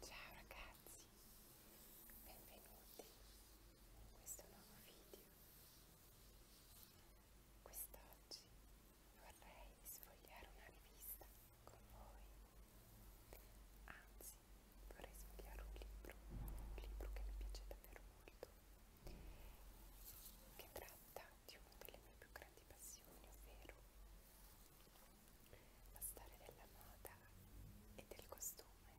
Ciao ragazzi, benvenuti in questo nuovo video. Quest'oggi vorrei sfogliare una rivista con voi, anzi vorrei sfogliare un libro, un libro che mi piace davvero molto, che tratta di una delle mie più grandi passioni, ovvero la storia della moda e del costume.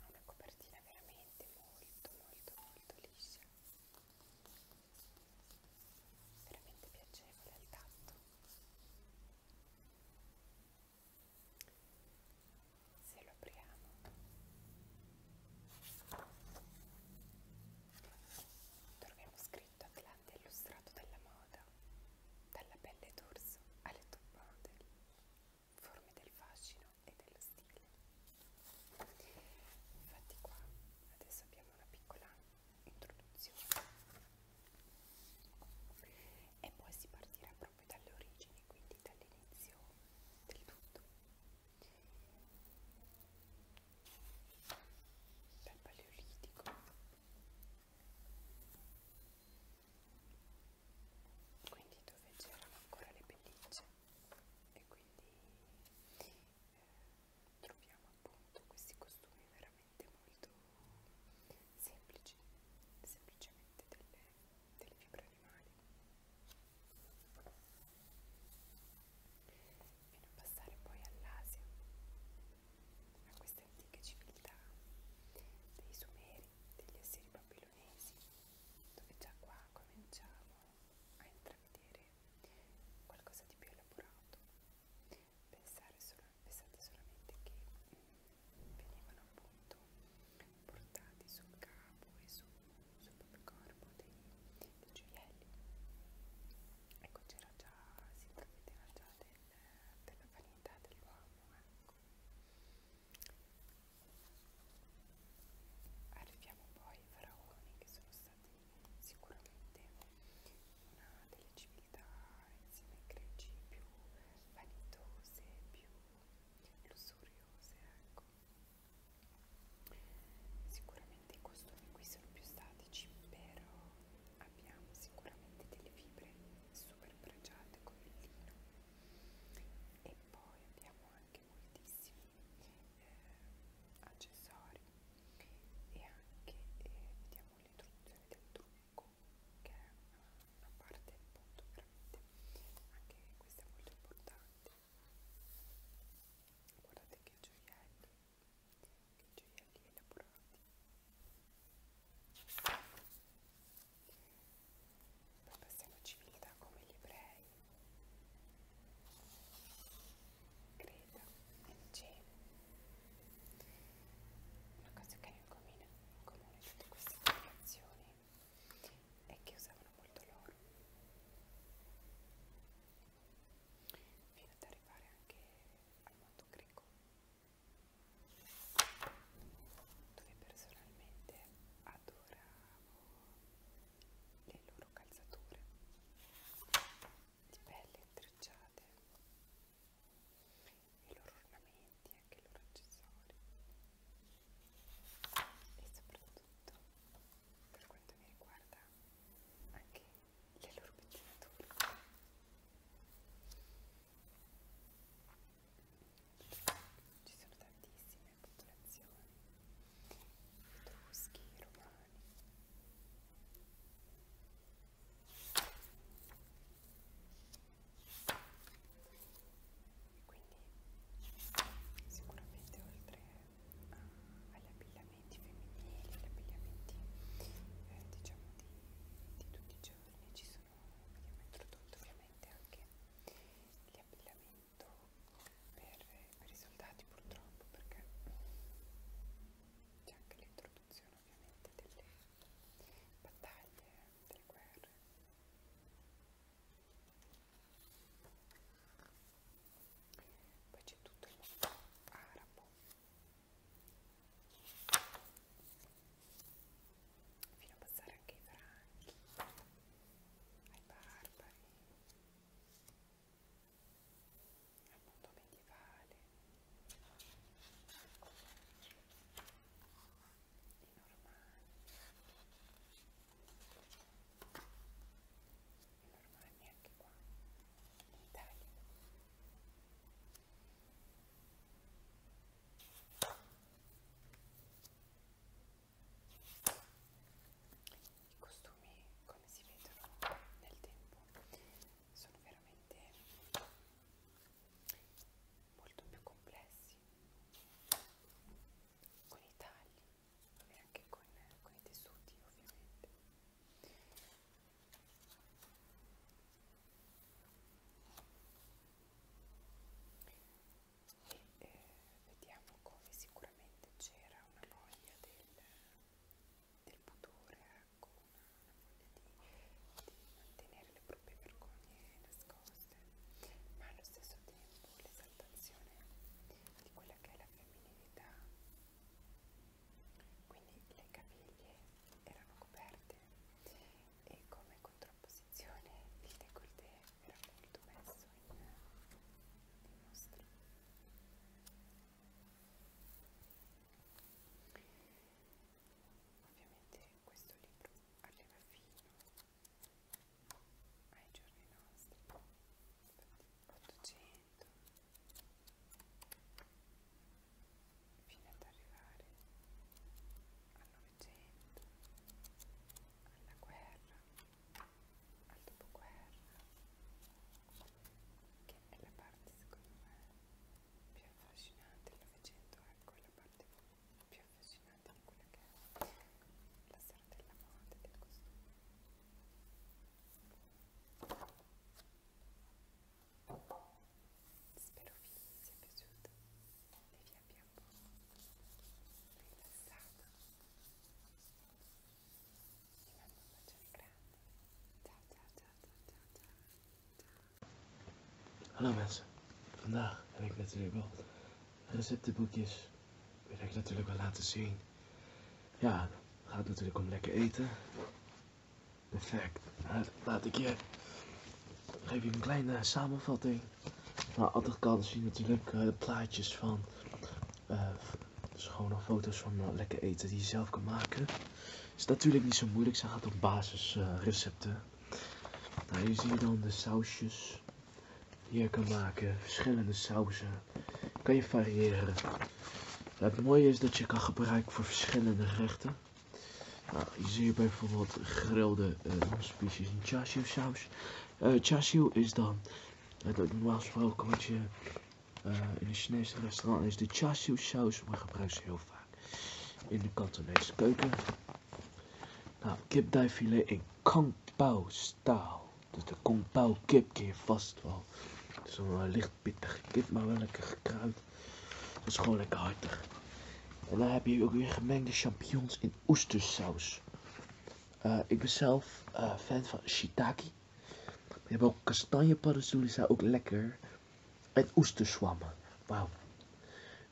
Ha una copertina veramente molto, molto, molto liscia, veramente piacevole al tatto se lo apriamo troviamo scritto Atlante illustrato dalla moda dalla pelle d'orso alle top model forme del fascino e dello stile infatti qua adesso abbiamo una piccola introduzione e poi si partirà proprio dalle origini quindi avanti dall'inizio del tutto dal paleolitico quindi dove c'erano ancora le pellicce e quindi eh, troviamo appunto questi costumi veramente molto semplici, semplicemente delle, delle fibre animali e non passare poi all'Asia, a queste antiche civiltà dei Sumeri, degli esseri babilonesi, dove già qua cominciamo a intravedere qualcosa di più elaborato. Pensare solo, pensate solamente che venivano appunto portati sul capo e sul, sul corpo dei, dei gioielli. Ecco, c'era già, si prevedeva già del, della vanità dell'uomo, ecco. Arriviamo poi ai faraoni che sono stati sicuramente una delle civiltà insieme ai greci più vanitose, più lussuriose ecco sicuramente i costumi qui sono più statici però abbiamo sicuramente delle fibre super pregiate come il lino e poi abbiamo anche moltissimi eh, accessori e anche eh, vediamo l'introduzione del trucco che è una parte appunto veramente anche questa è molto importante guardate che gioielli che gioielli elaborati poi passiamo a civiltà come gli ebrei Creta Nicea una cosa che ha in comune, in comune tutte queste applicazioni e che usavano molto l'oro fino ad arrivare anche al mondo greco dove personalmente adoravo le loro calzature di pelle intrecciate i loro ornamenti, anche i loro accessori e soprattutto per quanto mi riguarda anche le loro pettinature ci sono tantissime popolazioni etruschi, romani quindi sicuramente oltre uh, agli abbigliamenti femminili, agli abbigliamenti eh, diciamo di, di tutti i giorni ci sono, abbiamo introdotto ovviamente anche l'abbigliamento per, per i soldati purtroppo perché c'è anche l'introduzione ovviamente delle battaglie, delle guerre poi c'è tutto il mondo arabo fino a passare anche ai franchi ai barbari al mondo medievale i normali i normali anche qua in Italia i costumi come si vedono nel tempo sono veramente molto più complessi con i tagli e anche con, con i tessuti ovviamente e eh, vediamo come sicuramente c'era una voglia del, del pudore ecco una, una voglia di, di mantenere le proprie vergogne nascoste, ma allo stesso tempo l'esaltazione di quella che è la femminilità. Quindi le caviglie erano coperte e come contrapposizione il décolleté era molto messo in, in mostra. Ovviamente questo libro arriva fino ai giorni nostri 800 fino ad arrivare al 900 alla guerra al dopoguerra che è la parte secondo me più affascinante il 900 ecco è la parte più affascinante di quella che è la serata della moda del costume spero vi sia piaciuto e vi abbia un po' rilassato vi mando un bacione grande ciao ciao ciao ciao ciao ciao, ciao. Hallo mensen, vandaag heb ik natuurlijk wel receptenboekjes wil ik natuurlijk wel laten zien. Ja, het gaat natuurlijk om lekker eten. Perfect. Nou, laat ik je... Geef je een kleine eh, samenvatting. Maar nou, altijd kan zien natuurlijk eh, plaatjes van... Eh, schone foto's van lekker eten die je zelf kan maken. Is natuurlijk niet zo moeilijk. Ze gaat op basisrecepten. recepten. Nou, hier zie je dan de sausjes je kan maken. Verschillende sauzen. Kan je variëren. Het mooie is dat je kan gebruiken voor verschillende gerechten. Nou, hier zie je bijvoorbeeld gegrilde uh, species in chashu saus. Eh, chashu is dan het eh, normaal gesproken wat je in een Chinese restaurant is de chashu saus, maar gebruik ze heel vaak in de Cantonese keuken. Nou, filet in staal, Dus de kankbouw kip keer vast wel. Het is een licht pittige kip, maar wel lekker gekruid. Dat is gewoon lekker hartig. En dan heb je ook weer gemengde champignons in oestersaus. Eh, ik ben zelf eh, fan van shiitake. Je hebben ook kastanje kastanjepaddenstoelen, zijn ook lekker. En oesterzwammen. Wauw.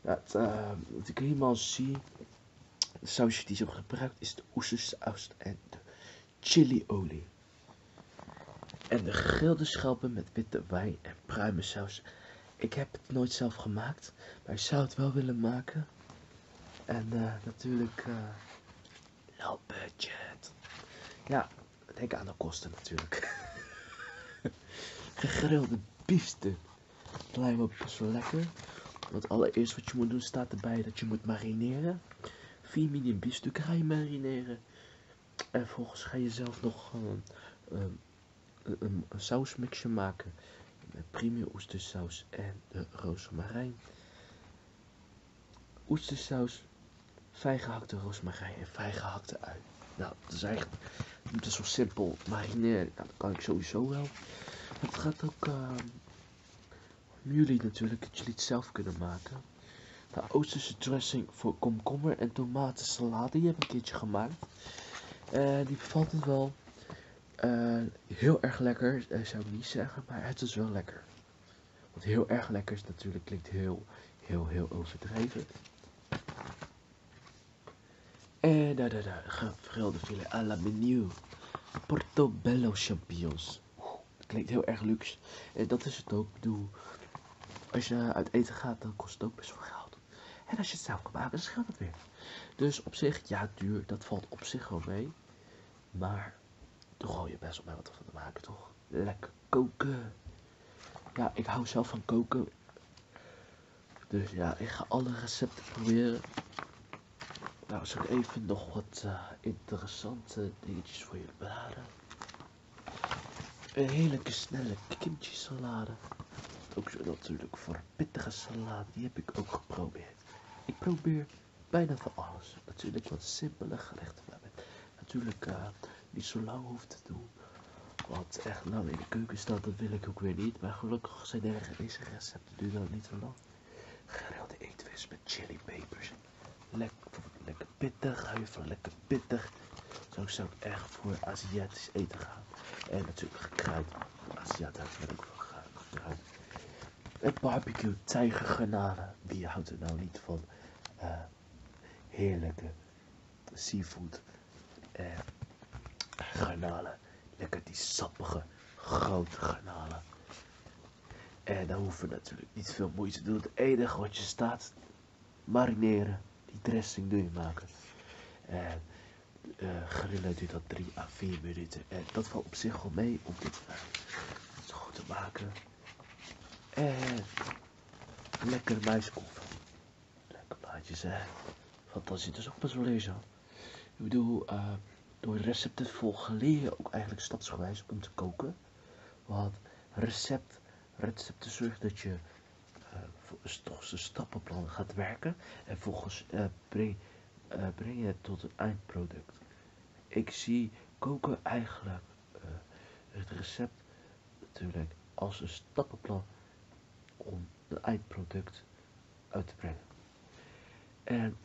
Dat, ehm, wat ik helemaal zie, de sausje die ze gebruikt, is de oestersaus en de chiliolie. En de gegrilde schelpen met witte wijn en pruimensaus. Ik heb het nooit zelf gemaakt, maar ik zou het wel willen maken. En eh, natuurlijk, eh, low budget. Ja, denk aan de kosten natuurlijk. Gegrilde biefstuk Pluimopjes zo lekker. Want allereerst wat je moet doen staat erbij dat je moet marineren. 4 mini biefstukken ga je marineren. En vervolgens ga je zelf nog ehm, ehm, een, een, sausmixje maken. Met premium oestersaus en de rozemarijn. Oestersaus, fijngehakte gehakte rozemarijn en fijngehakte ui. Nou, dat is eigenlijk, het is zo simpel marineren. Nou, dat kan ik sowieso wel. Het gaat ook ehm, om jullie natuurlijk, dat jullie het zelf kunnen maken. De Oosterse dressing voor komkommer en tomatensalade, die heb ik een keertje gemaakt. Eh, die bevalt het wel. Eh, heel erg lekker, eh, zou ik niet zeggen, maar het is wel lekker. Want heel erg lekker is natuurlijk, klinkt heel, heel, heel overdreven. En eh, daar, daar, daar. Gevrilde filet à menu. Portobello champignons. Dat klinkt heel erg luxe. En dat is het ook. Ik bedoel, als je uit eten gaat, dan kost het ook best wel geld. En als je het zelf kan maken, dan scheelt het weer. Dus op zich, ja, duur. Dat valt op zich wel mee. Maar, toch gooi je best op mij wat van te maken, toch? Lekker koken. Ja, ik hou zelf van koken. Dus ja, ik ga alle recepten proberen. Nou, zal ik even nog wat eh, interessante dingetjes voor jullie beraden. Een heerlijke snelle kimchi salade. Ook zo natuurlijk voor pittige salade, die heb ik ook geprobeerd. Ik probeer bijna van alles. Natuurlijk wat simpele gerechten natuurlijk eh, niet zo lang hoeft te doen. Want echt lang nou, in de keuken staan, dat wil ik ook weer niet. Maar gelukkig Godzijdank deze recept duurt niet zo lang. Gerilde eetvis met chili Lekker, lekker pittig, van lekker pittig. Zo zou ik echt voor Aziatisch eten gaan. En natuurlijk gekruid. Aziatisch, houdt ook wel gekruid. Een barbecue tijgerganade. Wie houdt er nou niet van eh, heerlijke seafood? Eh, garnalen. Lekker die sappige, grote garnalen. En dan hoeven we natuurlijk niet veel moeite te doen. Het enige wat je staat, marineren. Die dressing doen je maken. En eh, grillen duurt dat 3 à 4 minuten. En dat valt op zich wel mee om dit eh, goed te maken. En lekker muiskonfit. Lekker plaatjes, hè. het dat is ook best wel lezen. Ik bedoel, eh, door recepten volgen leer je ook eigenlijk stapsgewijs om te koken. Want recept, recepten zorgt dat je eh, toch zijn stappenplan gaat werken. En volgens eh, breng, breng je het tot een eindproduct. Ik zie koken eigenlijk het recept natuurlijk als een stappenplan om het eindproduct uit te brengen. En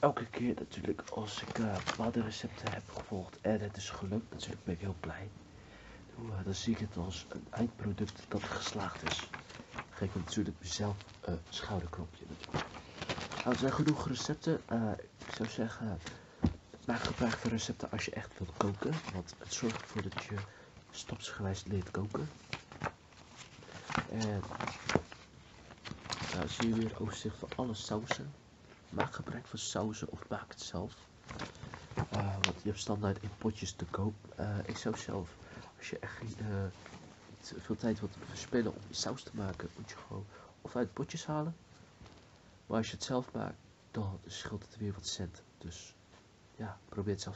elke keer natuurlijk als ik uh, eh, bepaalde recepten heb gevolgd en het is gelukt, natuurlijk ben ik heel blij. Eh, dan, zie ik het als een eindproduct dat geslaagd is. geef ik natuurlijk mezelf een schouderknopje. Nou, er zijn genoeg recepten. Eh, ik zou zeggen, maak gebruik van recepten als je echt wilt koken. Want het zorgt ervoor dat je stapsgewijs leert koken. En nou, zie je weer overzicht van alle sausen. Maak gebruik van sausen of maak het zelf. Eh, want je hebt standaard in potjes te koop. Eh, ik zou zelf, als je echt niet eh, veel tijd wilt verspillen om saus te maken, moet je gewoon of uit potjes halen. Maar als je het zelf maakt, dan scheelt het weer wat cent. Dus ja, probeer het zelf